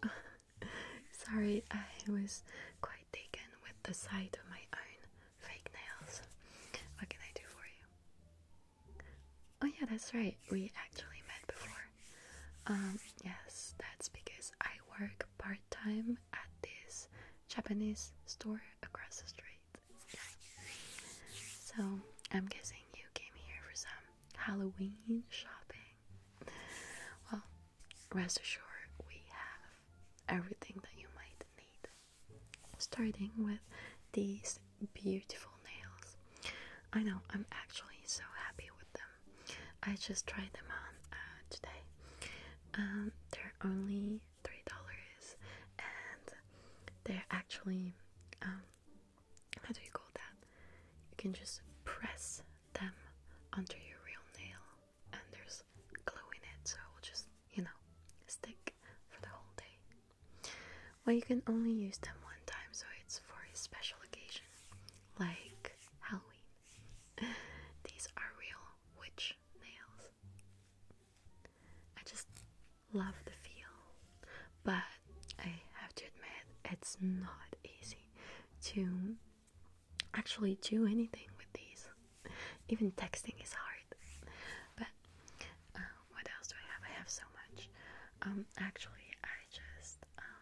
Sorry, I was quite taken with the sight of my own fake nails. What can I do for you? Oh, yeah, that's right. We actually met before. Um, yes, that's because I work part time at this Japanese store across the street. So, I'm guessing you came here for some Halloween shopping? Well, rest assured, we have everything that you might need. Starting with these beautiful nails. I know, I'm actually so happy with them. I just tried them on uh, today. Um, they're only $3 and they're actually um, how do you call that? You can just press them under your real nail, and there's glue in it, so it will just, you know, stick for the whole day. Well, you can only use them one time, so it's for a special occasion, like Halloween. These are real witch nails. I just love the feel, but I have to admit it's not easy to actually do anything with these. Even texting is hard. But uh, what else do I have? I have so much. Um, actually, I just um,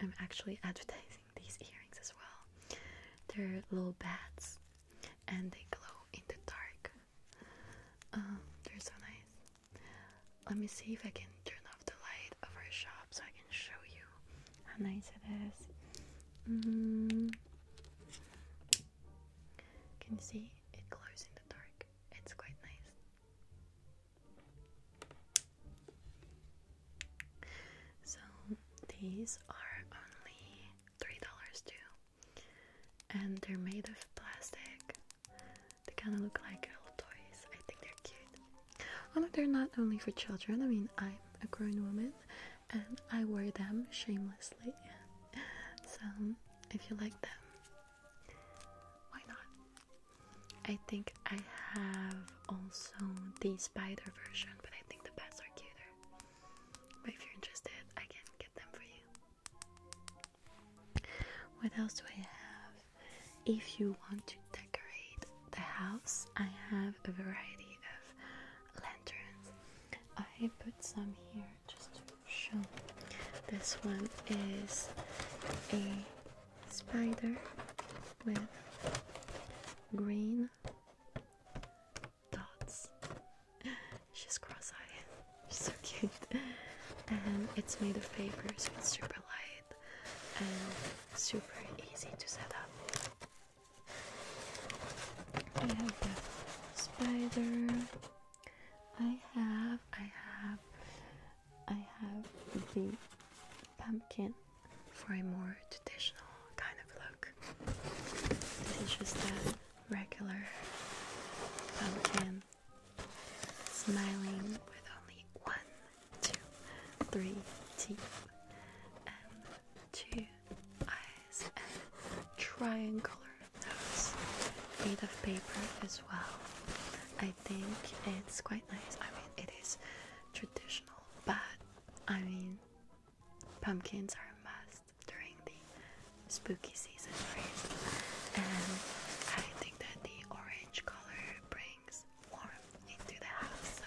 I'm actually advertising these earrings as well. They're little bats, and they glow in the dark. Um, they're so nice. Let me see if I can turn off the light of our shop so I can show you how nice it is. Mm-hmm. Can you see? It glows in the dark. It's quite nice. So these are only $3 too. And they're made of plastic they kind of look like little toys. I think they're cute. Oh no, they're not only for children. I mean, I'm a grown woman and I wear them shamelessly. So, if you like them, why not? I think I have also the spider version, but I think the bats are cuter. But if you're interested, I can get them for you. What else do I have? If you want to decorate the house, I have a variety of lanterns. I put some here just to show. This one is a spider with green dots. She's cross eyed. so cute. And it's made of paper, so it's super light and super easy to set up. I have the spider. I have, I have, I have the pumpkin for a more traditional kind of look. This is just a regular pumpkin smiling with only one, two, three teeth and two eyes and triangular nose made of paper as well. I think it's quite nice. I mean it is traditional but I mean pumpkins are a must during the spooky season. I think that the orange color brings warmth into the house, so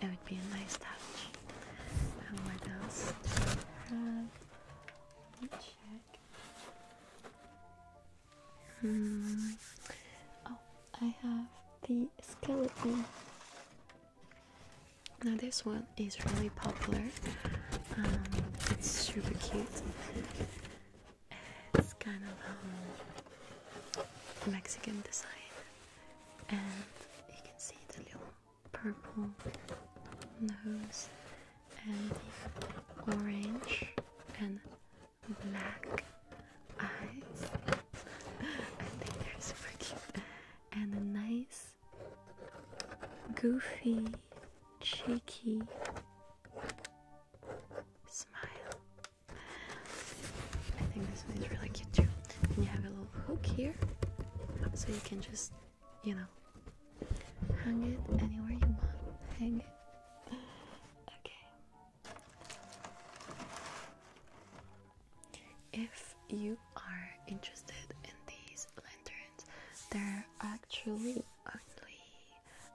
it would be a nice touch. And what else Let me check. Hmm. Oh, I have the skeleton. Now this one is really popular. Um, it's super cute. It's kind of um, Mexican design, and you can see the little purple nose and the orange and black eyes. I think they're super cute, and a nice goofy cheeky smile. I think this one is really cute too. And you have a little hook here, so you can just, you know, hang it anywhere you want. Hang it. Okay. If you are interested in these lanterns, they're actually only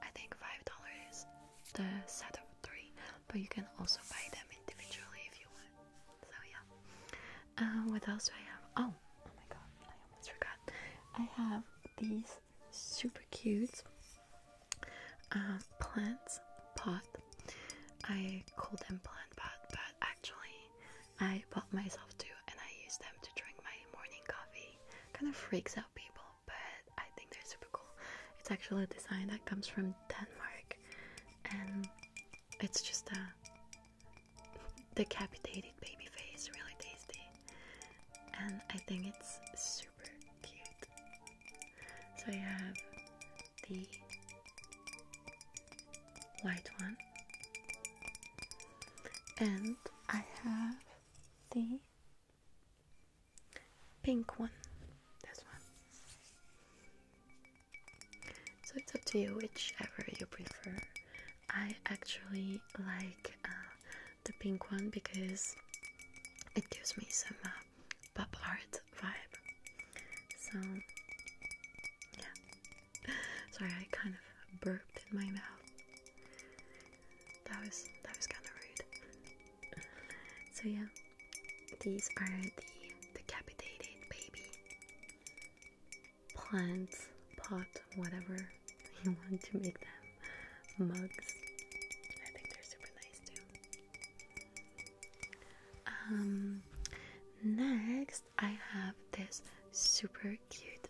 I think five dollars the set of three, but you can also buy them individually if you want. So yeah. Uh, what else do I have? Oh, oh my god, I almost forgot. I have these super cute uh, plants pot. I call them plant pot, but actually I bought myself two, and I use them to drink my morning coffee kind of freaks out people, but I think they're super cool. It's actually a design that comes from Denmark, and it's just a decapitated baby face, really tasty, and I think it's super cute. So I have the white one, and I have the pink one. This one. So it's up to you, whichever you prefer. I actually like uh, the pink one because it gives me some uh, pop art vibe. So, yeah. Sorry, I kind of burped in my mouth. That was that was kind of rude. so yeah, these are the decapitated baby plants, pot, whatever you want to make them. Mugs. I think they're super nice too. Um, next I have this super cute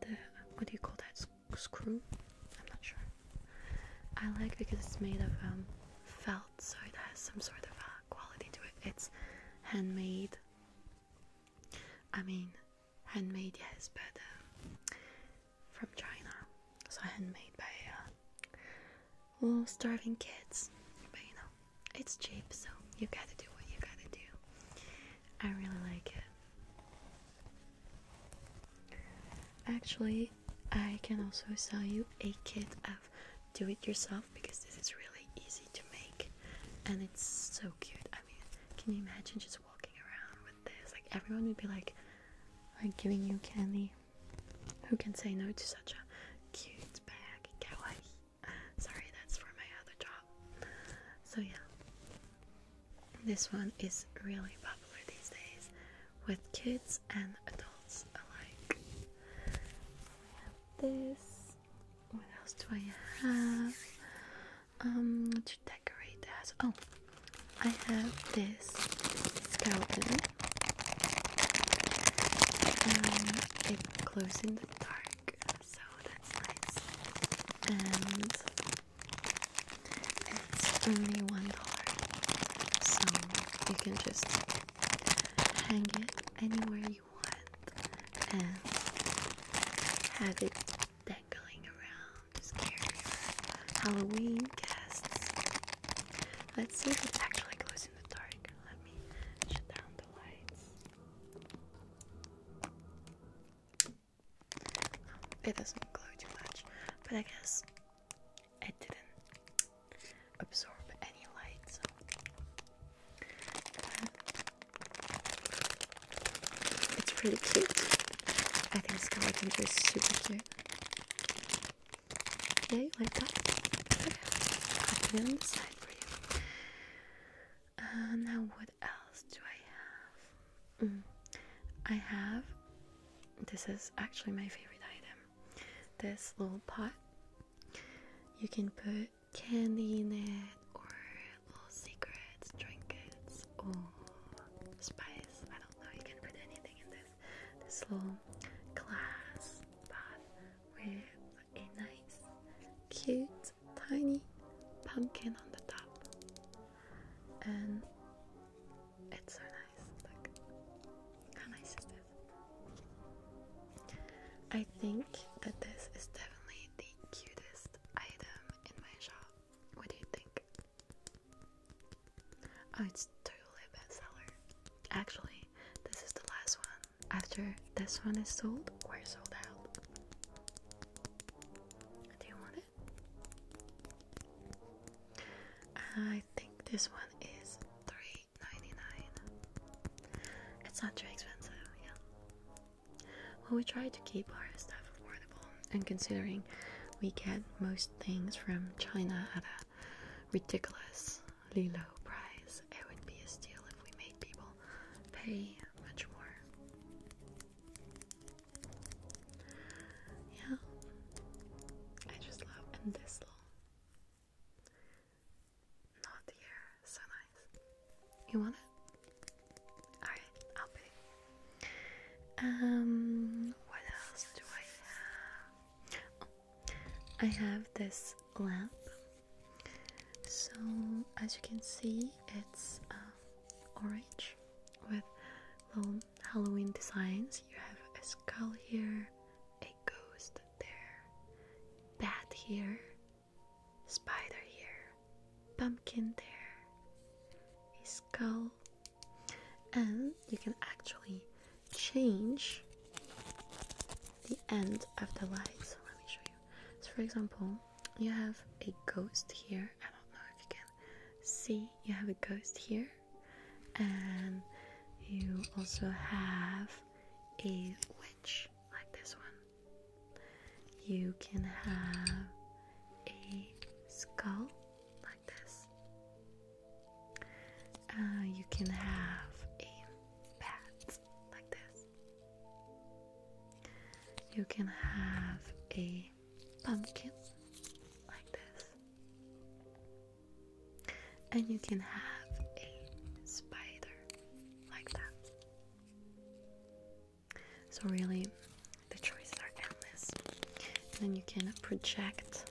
the what do you call that screw? I'm not sure. I like because it's made of um, felt, so it has some sort of uh, quality to it. It's handmade. I mean, handmade yes, but um, from China, so handmade by uh, starving kids. But you know, it's cheap, so you gotta do what you gotta do. I really like it. Actually, I can also sell you a kit of do it yourself because this is really easy to make and it's so cute. I mean, can you imagine just walking around with this? Like, everyone would be like, like giving you candy. Who can say no to such a cute bag? Kawaii. Sorry, that's for my other job. So, yeah, this one is really popular these days with kids and adults alike. this. What else do I have? Um, to decorate the Oh, I have this skeleton. Um, it glows dark, so that's nice. And it's only one dollar, so you can just hang it anywhere you want and have it dangling around to Halloween guests. Let's see if it actually glows in the dark. Let me shut down the lights. It doesn't glow too much, but I guess it didn't absorb any light, so. it's pretty cute. I think this skeleton is super cute. Yeah, you like that? Okay. I'll put it on the side for you. Uh, now, what else do I have? Mm. I have this is actually my favorite item this little pot. You can put candy in it, or little secrets, trinkets, or spice. I don't know, you can put anything in this. This little glass pot with a nice, cute, tiny pumpkin on the top, and it's so nice. Look, how nice is this? I think that this is definitely the cutest item in my shop. What do you think? Oh, it's totally a bestseller. Actually, this is the last one. After this one is sold, we're sold out. Do you want it? I think this one is 3 It's not too expensive, yeah. Well, we try to keep our stuff affordable, and considering we get most things from China at a ridiculous low price. It would be a steal if we made people pay much more. Yeah, I just love and this little knot here, so nice. You want it? Alright, I'll pay. Um, what else do I have? Oh, I have this lamp so, as you can see, it's uh, orange with little Halloween designs. You have a skull here, a ghost there, bat here, spider here, pumpkin there, a skull, and you can actually change the end of the light. So let me show you. So for example, you have a ghost here. I don't know if you can see. You have a ghost here, and you also have a witch like this one. You can have a skull like this. Uh, you can have a bat like this. You can have a pumpkin like this, and you can have a spider like that. So, really, the choices are endless. then you can project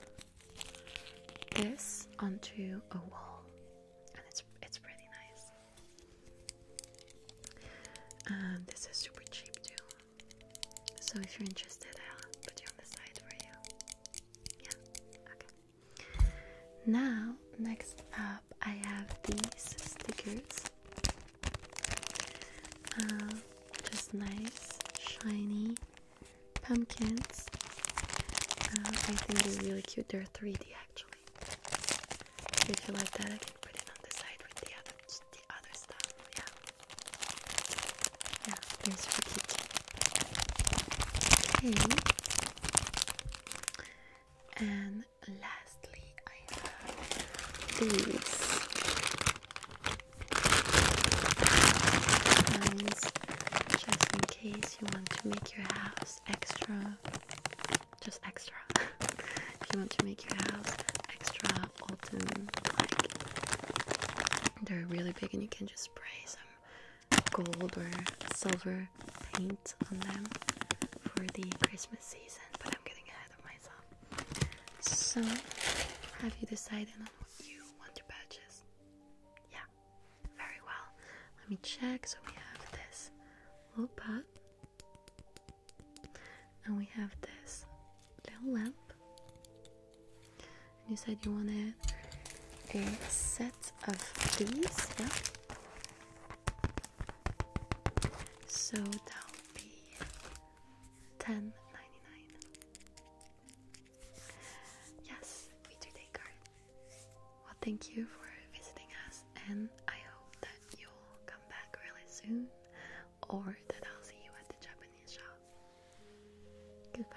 this onto a wall and it's it's pretty nice. Um, this is super cheap too. So if you're interested, I'll put you on the side for you. Yeah. Okay. Now, next up, I have these stickers. Uh, just nice, shiny pumpkins. Uh, I think they're really cute. They're 3D actually. If you like that, I can put it on the side with the other, the other stuff. Yeah. Yeah, they're super Okay. And lastly, I have these. Just in case you want to make your house extra, just extra. if you want to make your house extra autumn, like they're really big, and you can just spray some gold or silver paint on them for the Christmas season. But I'm getting ahead of myself. So, have you decided on what you want to purchase? Yeah, very well. Let me check. So we have this little pot, and we have this little lamp. And you said you wanted a set of these, yeah? So that would be ten ninety nine. Yes, we do take art. Well, thank you for visiting us, and I hope that you'll come back really soon or that I'll see you at the Japanese shop. Goodbye.